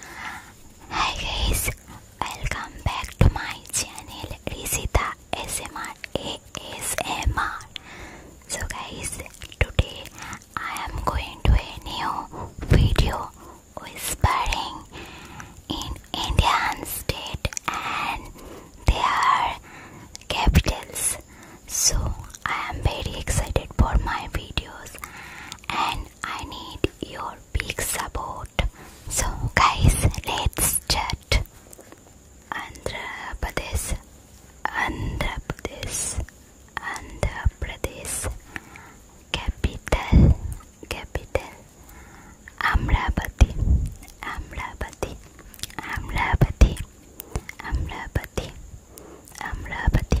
Hi guys, welcome back to my channel Risita ASMR So guys, today I am going to a new video whispering in Indian state and their capitals. So I am very excited for my videos and I need your big support. So, guys, let's chat. Andhra Pradesh, Andhra Pradesh, Andhra Pradesh, capital, capital, Amravati, Amravati, Amravati, Amravati, Amravati,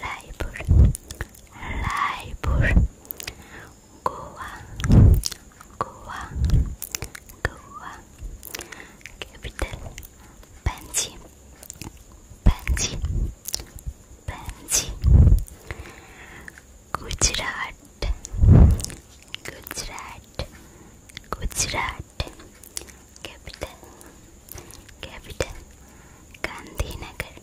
Leipur, Leipur, Goa, Goa, Goa, capital, Panji, Panji, Panji, Gujarat, Gujarat, Gujarat, capital, capital, Gandhinagar.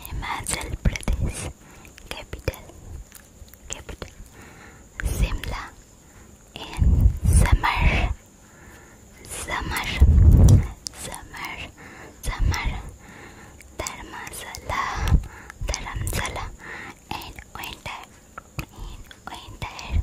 Himachal Pradesh capital capital Simla in summer summer summer summer Dharmasala Dharamsala and winter in winter winter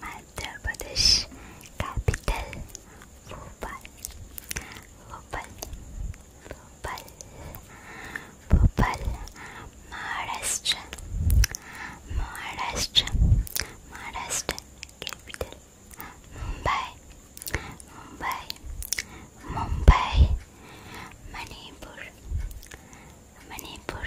Madhya Pradesh capital Bhopal Bhopal Bhopal Bhopal Maharashtra Maharashtra Maharashtra capital Mumbai Mumbai Mumbai Manipur Manipur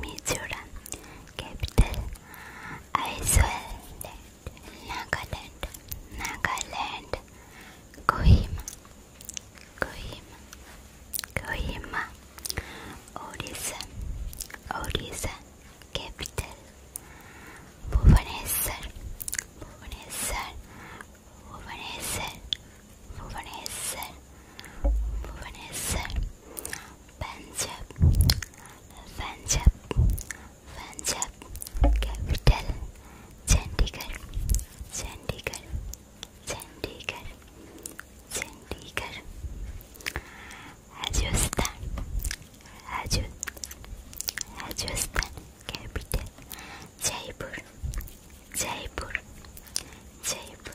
Mizoram capital Iceland Nagaland Nagaland Kohima Kohima Kohima Odisha Odisha capital Bhubaneswar Bhubaneswar Bhubaneswar Bhubaneswar, Bhubaneswar, Punjab, Punjab, Punjab, capital, Chandigarh, Chandigarh, Chandigarh, Chandigarh, Rajasthan, Rajasthan, Rajasthan, capital, Jaipur, Jaipur, Jaipur.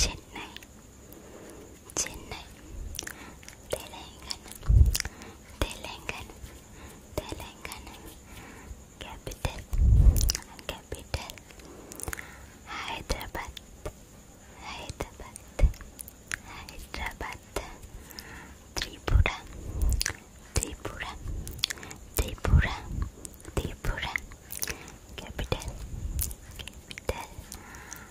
Chennai Chennai Delhi Delhi Delhi Delhi Chennai Chennai Hyderabad Hyderabad Hyderabad Tripura Tripura Tripura Tripura Chennai Chennai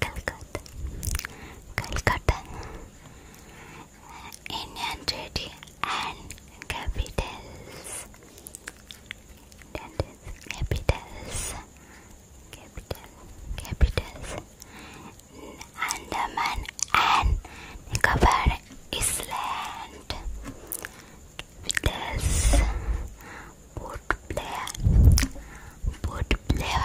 Calcutta, Calcutta, Indian treaty and capitals. That is capitals, capital, capitals. Andaman and Nicobar Island. Capitals, Port Blair, Port Blair.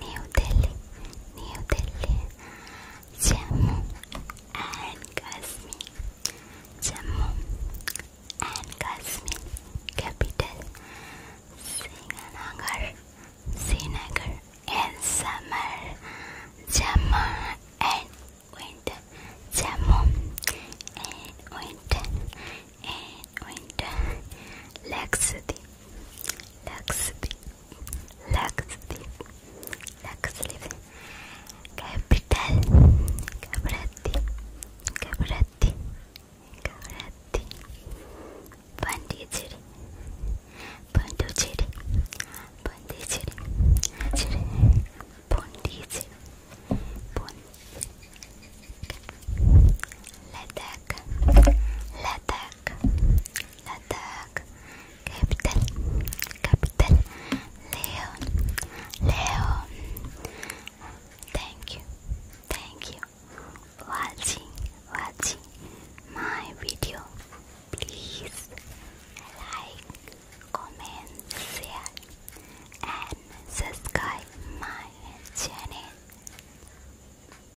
New Delhi, New Delhi, Jammu and Kashmir, Jammu and Kashmir, capital Srinagar, Srinagar in summer, Jammu and winter, Jammu and winter, and winter, Lakshadweep, Lakshadweep laxative, laxative, capital, cabrati, cabrati, cabrati, pondicherry, pondicherry, pondicherry, pondicherry, pondicherry, pondicherry, Ladakh, Ladakh. Ladakh, capital, capital, Leon, Leon. Thank you, thank you for watching, watching my video. Please like, comment, share, and subscribe my channel.